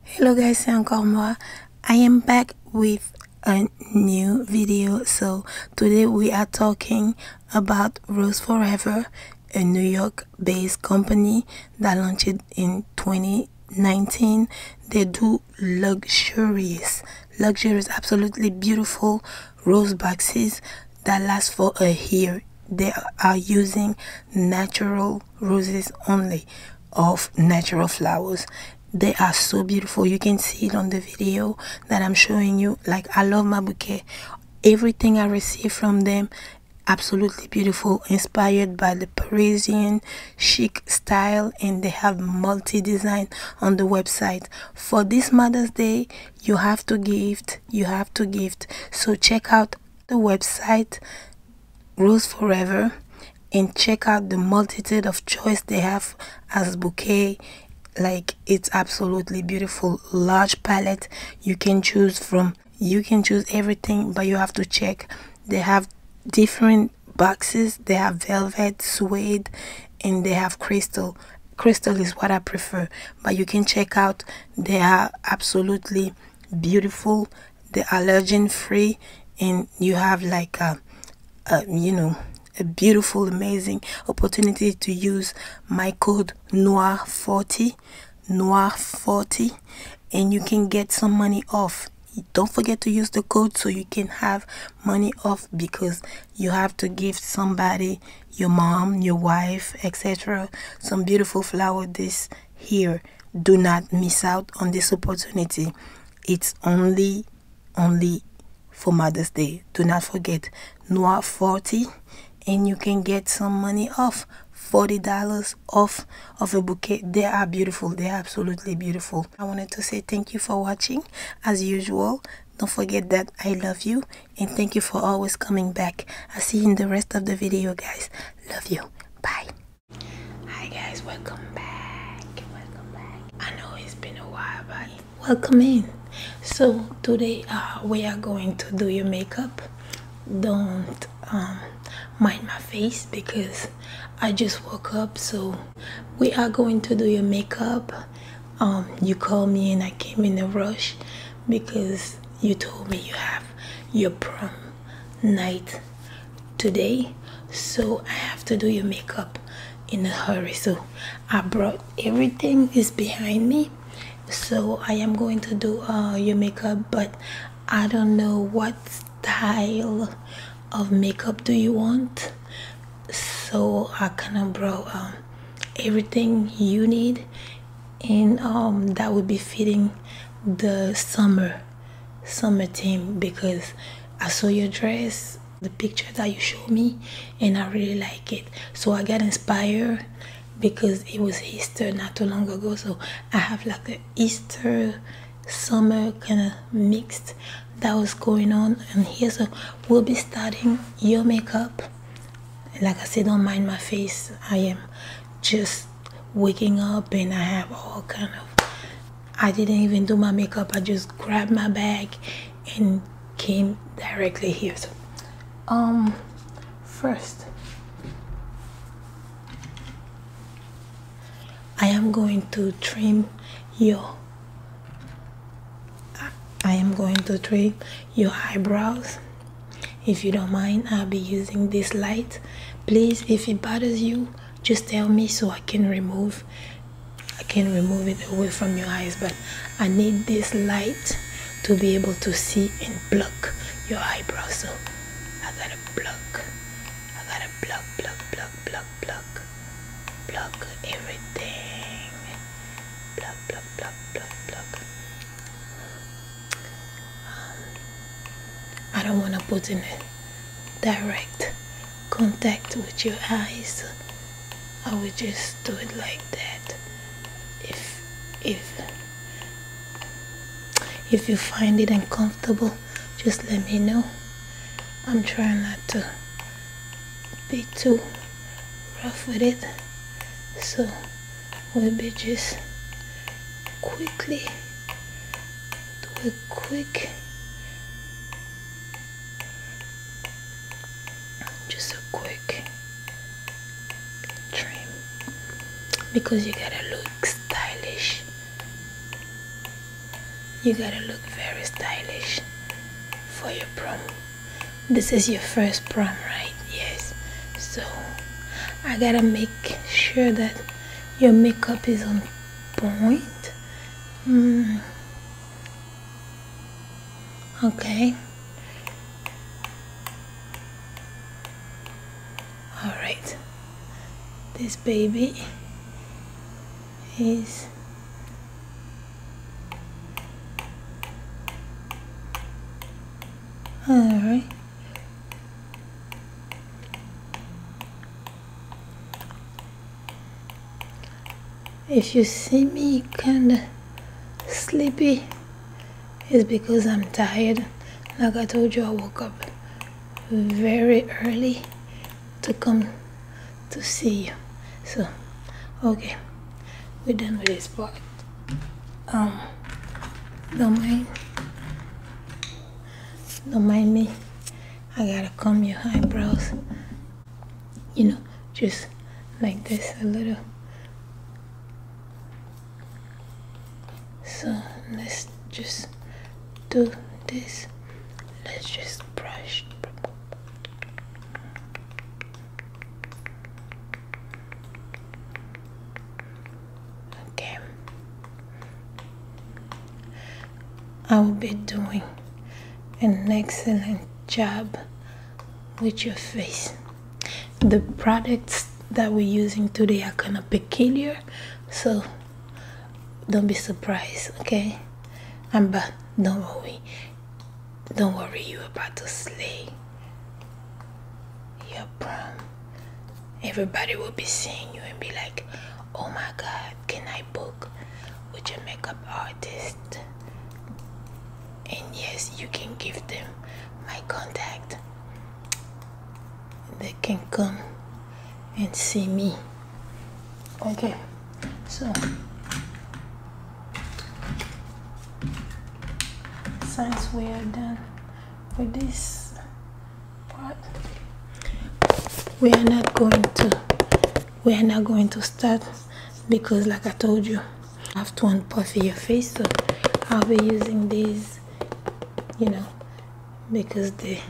hello guys i'm Kalma. i am back with a new video so today we are talking about rose forever a new york based company that launched in 2019 they do luxurious luxurious absolutely beautiful rose boxes that last for a year they are using natural roses only of natural flowers they are so beautiful you can see it on the video that i'm showing you like i love my bouquet everything i receive from them absolutely beautiful inspired by the parisian chic style and they have multi design on the website for this mother's day you have to gift you have to gift so check out the website grows forever and check out the multitude of choice they have as bouquet like it's absolutely beautiful large palette you can choose from you can choose everything but you have to check they have different boxes they have velvet suede and they have crystal crystal is what i prefer but you can check out they are absolutely beautiful the allergen free and you have like a, a you know a beautiful amazing opportunity to use my code noir 40 noir 40 and you can get some money off don't forget to use the code so you can have money off because you have to give somebody your mom your wife etc some beautiful flower this here do not miss out on this opportunity. It's only, only for Mother's Day. Do not forget, Noir 40 and you can get some money off. $40 off of a bouquet. They are beautiful. They are absolutely beautiful. I wanted to say thank you for watching. As usual, don't forget that I love you and thank you for always coming back. I'll see you in the rest of the video, guys. Love you. Bye. Hi guys, welcome back. Welcome back. I know it's been a while, but welcome in. So today uh, we are going to do your makeup. Don't um, mind my face because I just woke up. So we are going to do your makeup. Um, you called me and I came in a rush because you told me you have your prom night today so I have to do your makeup in a hurry so I brought everything is behind me so I am going to do uh, your makeup but I don't know what style of makeup do you want so I kind of brought um, everything you need and um, that will be fitting the summer Summer theme because I saw your dress, the picture that you showed me, and I really like it. So I got inspired because it was Easter not too long ago. So I have like an Easter summer kind of mixed that was going on and here so we'll be starting your makeup like i said don't mind my face i am just waking up and I have all kind of I didn't even do my makeup I just grabbed my bag and came directly here so um first I am going to trim your I am going to trim your eyebrows if you don't mind I'll be using this light please if it bothers you just tell me so I can remove I can remove it away from your eyes but I need this light to be able to see and pluck your eyebrows so I gotta pluck I gotta pluck pluck pluck pluck pluck pluck everything pluck pluck pluck pluck pluck um, I don't want to put in direct contact with your eyes I will just do it like that if if if you find it uncomfortable just let me know I'm trying not to be too rough with it so the just quickly do a quick just a quick trim because you gotta look stylish you gotta look very stylish for your prom this is your first prom right yes so I gotta make sure that your makeup is on point hmm. okay all right this baby is all right if you see me kinda sleepy, it's because I'm tired. Like I told you, I woke up very early to come to see you. So, okay, we're done with this part um, don't mind, don't mind me. I gotta comb your eyebrows, you know, just like this a little. So let's just do this. Let's just brush. Okay. I will be doing an excellent job with your face. The products that we're using today are kind of peculiar, so don't be surprised, okay? I'm but don't worry, don't worry, you're about to slay your prom everybody will be seeing you and be like oh my god can i book with your makeup artist and yes you can give them my contact they can come and see me okay so since we are done with this we are not going to. We are not going to start because, like I told you, I have to unpuff your face. So I'll be using these, you know, because they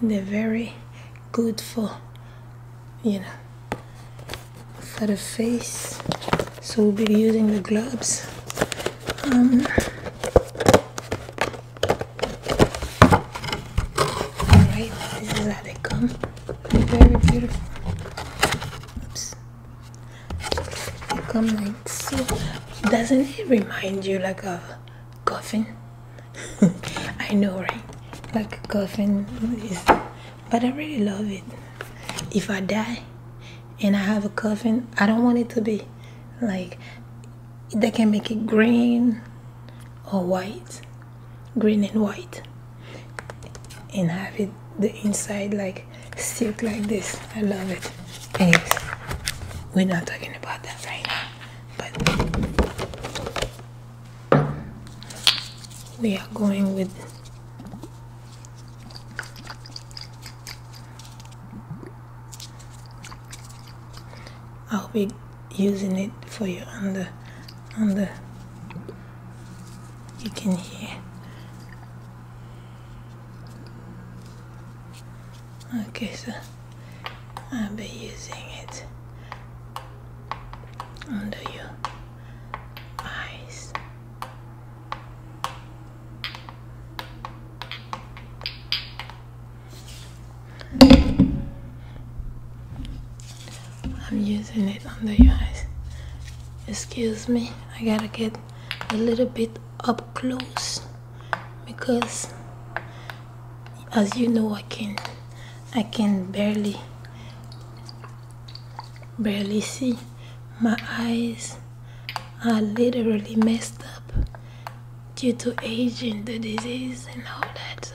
they're very good for, you know, for the face so we'll be using the gloves um, alright this is how they come very beautiful oops they come like so doesn't it remind you like a coffin I know right like a coffin is but I really love it if I die and I have a coffin, I don't want it to be like they can make it green or white, green and white, and have it the inside like silk like this. I love it. Anyways, we're not talking about that right now, but we are going with I'll be using it for you under the on you can hear okay so I'll be using it under your eyes I'm using it under your eyes. Excuse me, I gotta get a little bit up close because as you know I can I can barely barely see my eyes I literally messed up due to aging, the disease, and all that. So.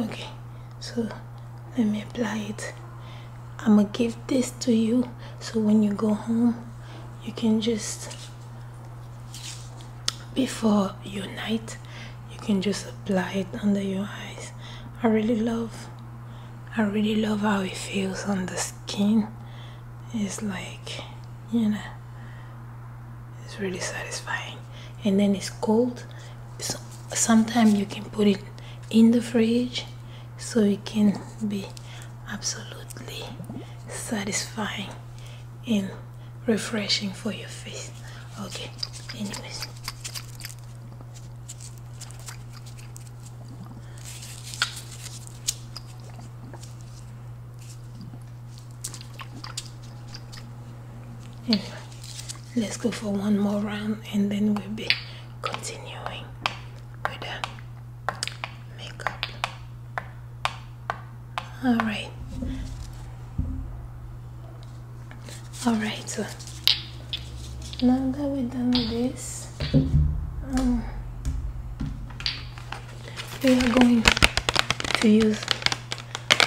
okay so let me apply it I'm gonna give this to you so when you go home you can just before your night you can just apply it under your eyes I really love I really love how it feels on the skin it's like you know it's really satisfying and then it's cold so sometimes you can put it in the fridge so it can be absolutely satisfying and refreshing for your face okay anyways let's go for one more round and then we'll be continuing with the makeup. Alright. Alright, so now that we're done with this, um, we are going to use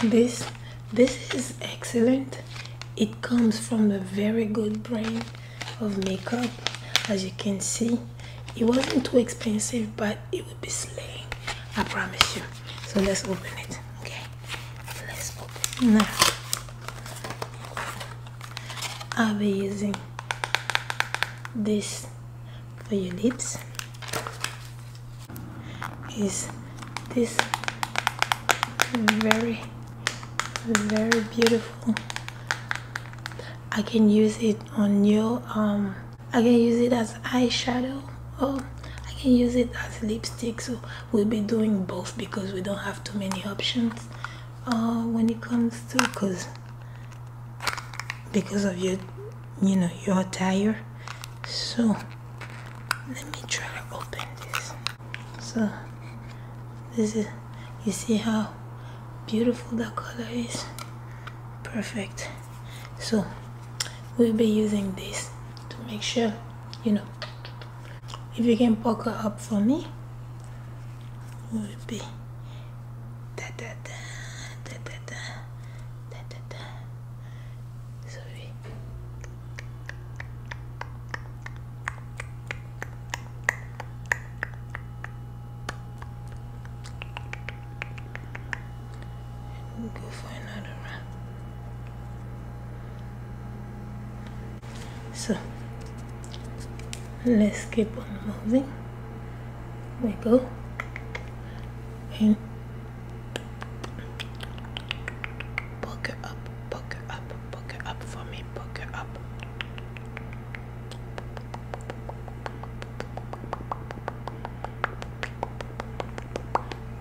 this this is excellent it comes from a very good brand of makeup as you can see it wasn't too expensive but it will be slaying i promise you so let's open it okay let's open now i'll be using this for your lips is this very very beautiful I can use it on your um I can use it as eyeshadow or I can use it as lipstick so we'll be doing both because we don't have too many options uh, when it comes to because because of your you know you're tired so let me try to open this so this is you see how beautiful the color is perfect so we'll be using this to make sure you know if you can poker up for me will be da da da da da da Ta go for another round. So let's keep on moving. We go and book her up, book her up, book her up for me, book her up.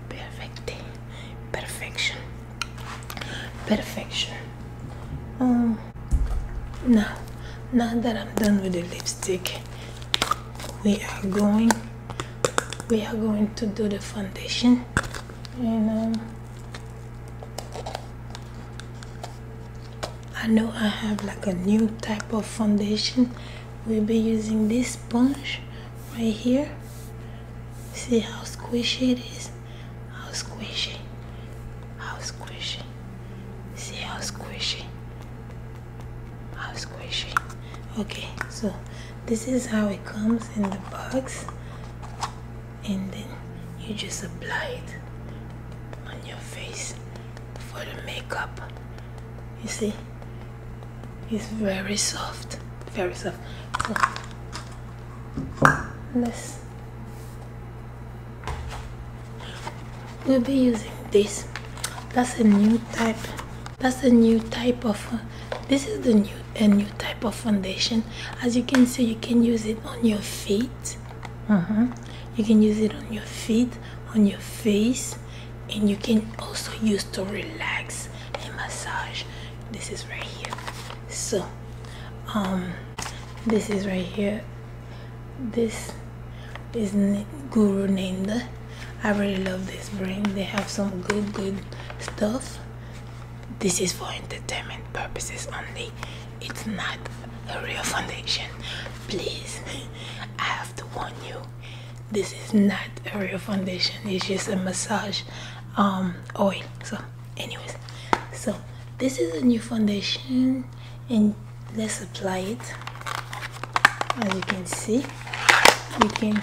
Perfect, perfection, perfection. Um, now, now that I'm done with the lipstick, we are going we are going to do the foundation and um, I know I have like a new type of foundation we'll be using this sponge right here see how squishy it is how squishy how squishy see how squishy how squishy okay so this is how it comes in the box and then you just apply it on your face for the makeup you see it's very soft very soft so we'll be using this that's a new type that's a new type of uh, this is the new a new type of foundation as you can see you can use it on your feet uh mm-hmm. -huh. you can use it on your feet on your face and you can also use to relax and massage this is right here so um this is right here this is guru Nanda. i really love this brand they have some good good stuff this is for entertainment purposes only it's not a real foundation please i have to warn you this is not a real foundation it's just a massage um oil so anyways so this is a new foundation and let's apply it as you can see you can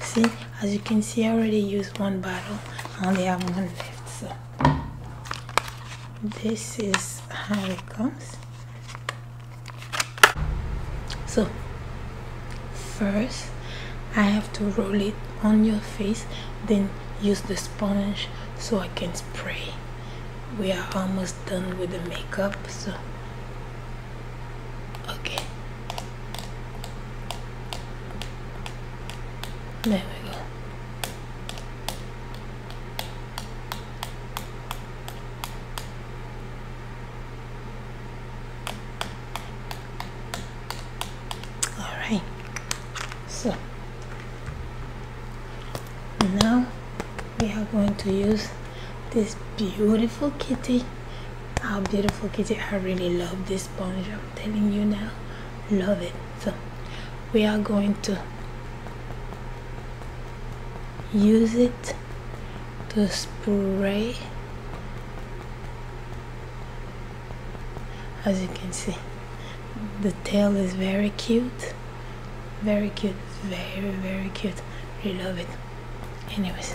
see as you can see I already used one bottle I only have one left so this is how it comes so first I have to roll it on your face then use the sponge so I can pray we are almost done with the makeup so okay there we go all right so now we are going to use this beautiful kitty how beautiful kitty i really love this sponge i'm telling you now love it so we are going to use it to spray as you can see the tail is very cute very cute very very cute really love it anyways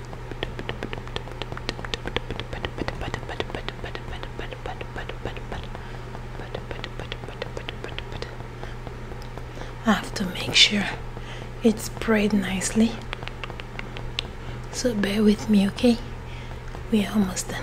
I have to make sure it's sprayed nicely so bear with me okay we are almost done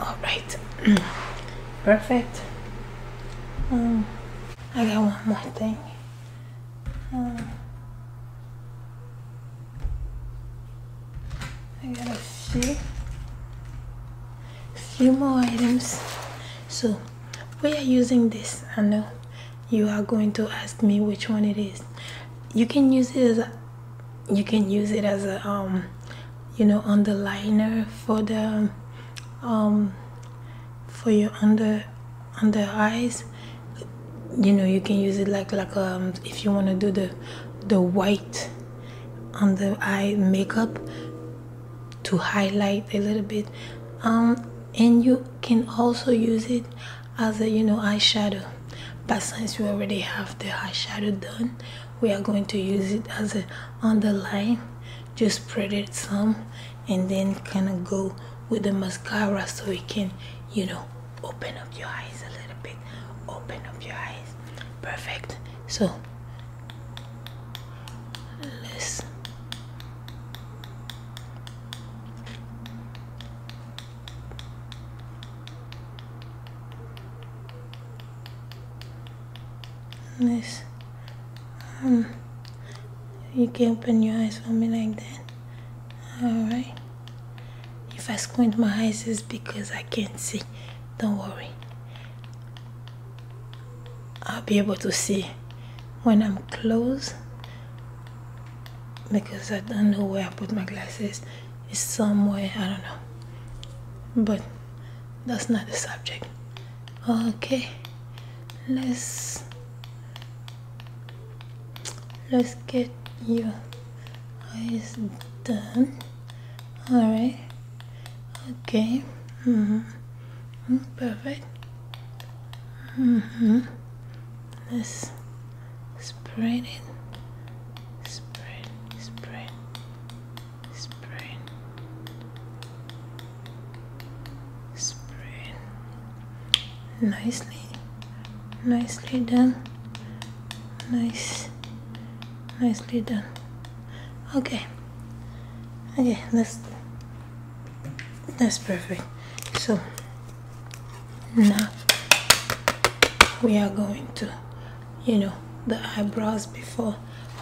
All right, perfect. Um, I got one more thing. Um, I gotta see few more items so we are using this I know you are going to ask me which one it is you can use it as you can use it as a um you know underliner for the um for your under under eyes you know you can use it like like um if you want to do the the white on the eye makeup to highlight a little bit um, and you can also use it as a you know eyeshadow but since we already have the eyeshadow done we are going to use it as an underline just spread it some and then kind of go with the mascara so it can you know open up your eyes a little bit open up your eyes perfect so listen this um you can open your eyes for me like that all right if i squint my eyes it's because i can't see don't worry I'll be able to see when I'm close because I don't know where I put my glasses. It's somewhere, I don't know. But that's not the subject. Okay, let's let's get your eyes done. All right. Okay. Mm-hmm. Mm, perfect. Mm hmm Spread, spread, spread, spread. Nicely, nicely done. Nice, nicely done okay okay that's that's perfect so now we are going to you know the eyebrows before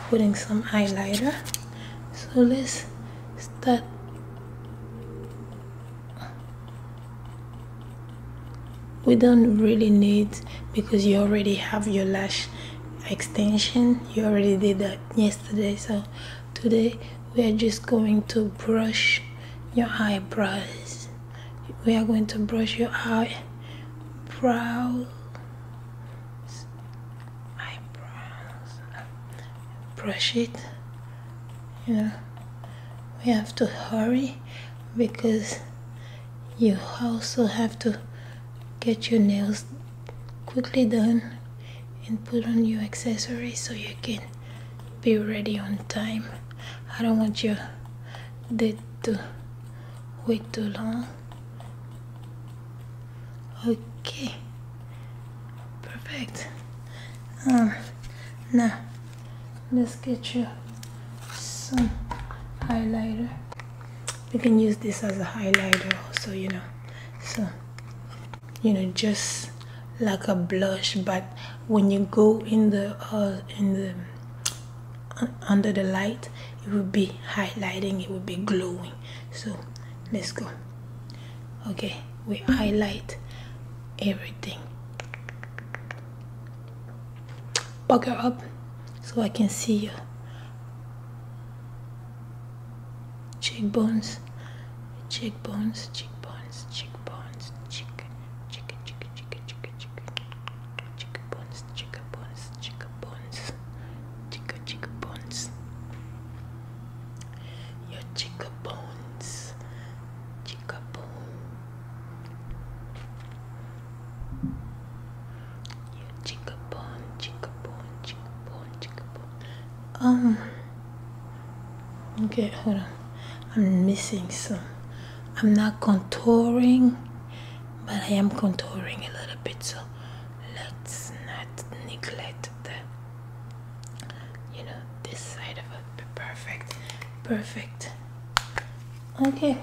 putting some highlighter so let's start we don't really need because you already have your lash extension you already did that yesterday so today we are just going to brush your eyebrows we are going to brush your eyebrows eyebrows brush it Yeah. we have to hurry because you also have to get your nails quickly done and put on your accessories so you can be ready on time I don't want you date to wait too long okay perfect um, now let's get you some highlighter you can use this as a highlighter also you know so you know just like a blush but when you go in the uh, in the uh, under the light it will be highlighting it will be glowing so let's go okay we highlight everything pucker up so I can see you cheekbones, cheekbones, cheekbones, cheekbones, chicken, chicken, chicken, chicken, chicken, chicken, chicken bones, chicken bones, chicken bones, chicken, chicken bones, your chicken bones, chicken bone, Chickabon, chickabon, chickabon, chickabon. Um. Okay, hold on. I'm missing some. I'm not contouring, but I am contouring a little bit, so let's not neglect the, you know, this side of it. Perfect, perfect. Okay.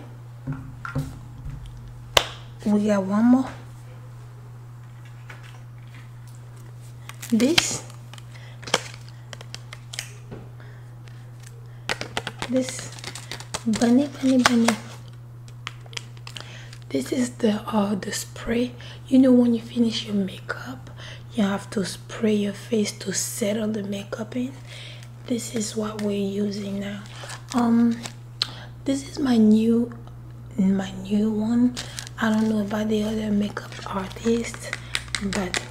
We got one more. This. This bunny, bunny, bunny. This is the uh, the spray. You know when you finish your makeup, you have to spray your face to settle the makeup in this is what we're using now um this is my new my new one i don't know about the other makeup artists but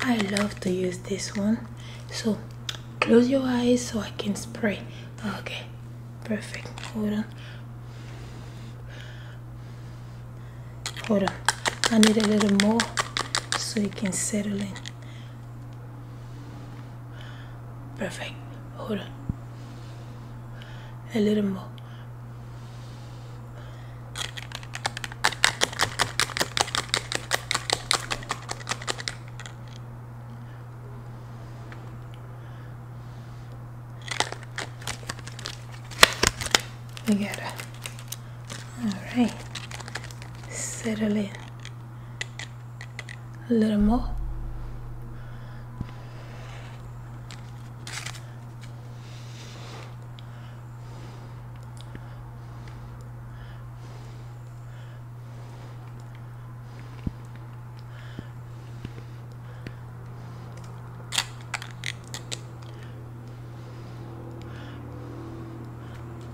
i love to use this one so close your eyes so i can spray okay perfect hold on hold on i need a little more so you can settle in Perfect. Hold on. A little more. We got it. All right. Settle in a little more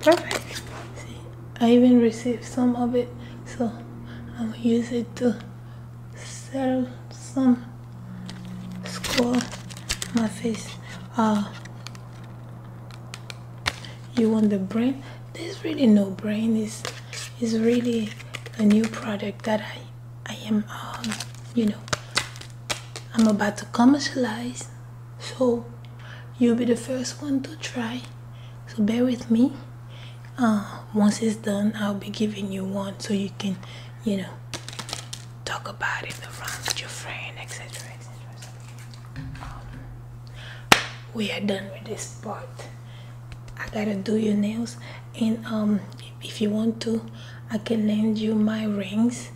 perfect I even received some of it, so I'll use it to sell some score my face. Uh, you want the brain? There's really no brain. Is is really a new product that I I am um, you know I'm about to commercialize so you'll be the first one to try so bear with me uh, once it's done I'll be giving you one so you can you know talk about it in around with your friend etc etc we are done with this part I gotta do your nails and um, if you want to I can lend you my rings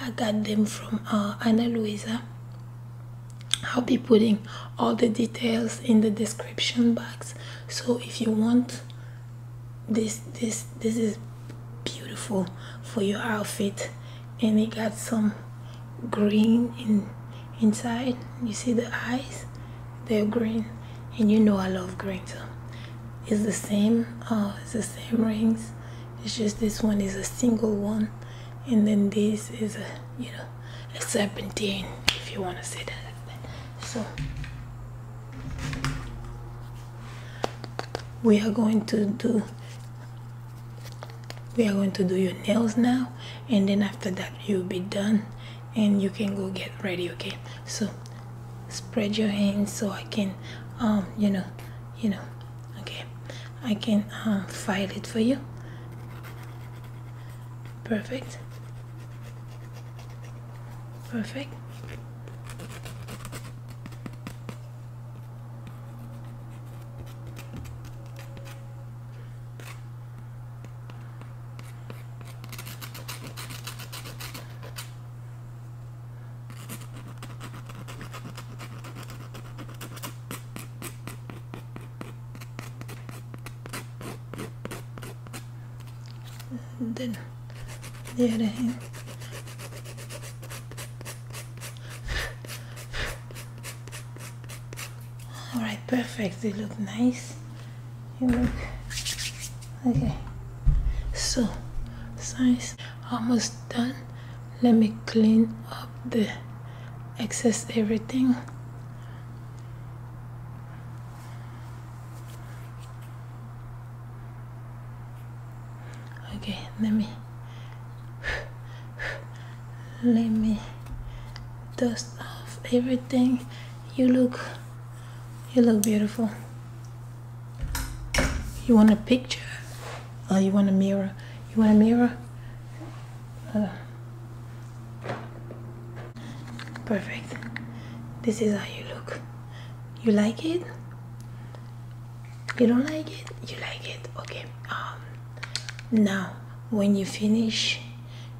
I got them from uh, Ana Luisa I'll be putting all the details in the description box. So if you want this this this is beautiful for your outfit and it got some green in inside you see the eyes they're green and you know I love green so it's the same uh, it's the same rings it's just this one is a single one and then this is a you know a serpentine if you want to say that so we are going to do we are going to do your nails now and then after that you'll be done and you can go get ready okay so spread your hands so I can um you know you know okay I can uh, file it for you perfect perfect and then Alright, perfect. They look nice. You look okay. So, size almost done let me clean up the excess everything okay let me let me dust off everything you look you look beautiful you want a picture Oh, you want a mirror you want a mirror perfect this is how you look you like it you don't like it you like it okay um now when you finish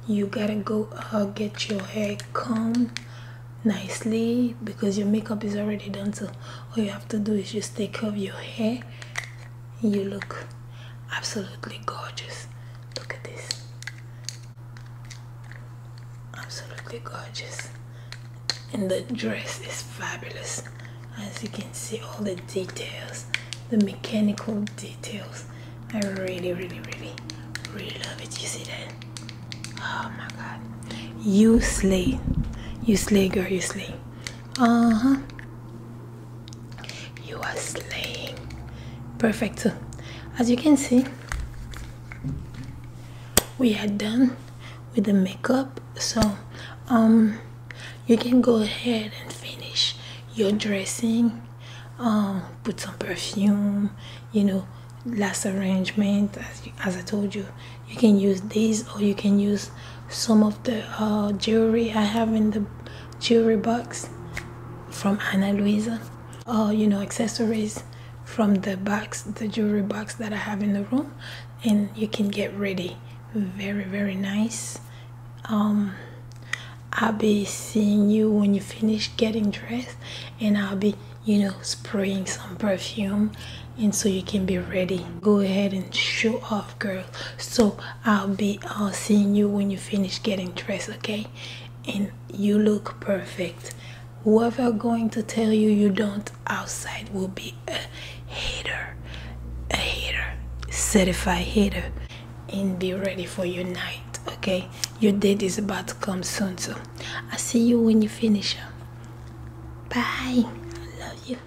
you gotta go uh, get your hair combed nicely because your makeup is already done so all you have to do is just take off your hair you look absolutely gorgeous look at this absolutely gorgeous and the dress is fabulous as you can see all the details the mechanical details I really really really really love it you see that oh my god you slay you slay girl you slay uh-huh you are slaying. Perfect. As you can see, we are done with the makeup. So, um, you can go ahead and finish your dressing. Um, put some perfume. You know, last arrangement. As, I told you, you can use this or you can use some of the uh, jewelry I have in the jewelry box from Ana Luisa, or uh, you know, accessories from the box, the jewelry box that I have in the room, and you can get ready. Very, very nice. Um, I'll be seeing you when you finish getting dressed, and I'll be, you know, spraying some perfume and so you can be ready. Go ahead and show off, girl. So I'll be seeing you when you finish getting dressed, okay? And you look perfect. Whoever going to tell you you don't outside will be a hater, a hater, certified hater, and be ready for your night, okay? Your date is about to come soon, so I'll see you when you finish. Bye. I love you.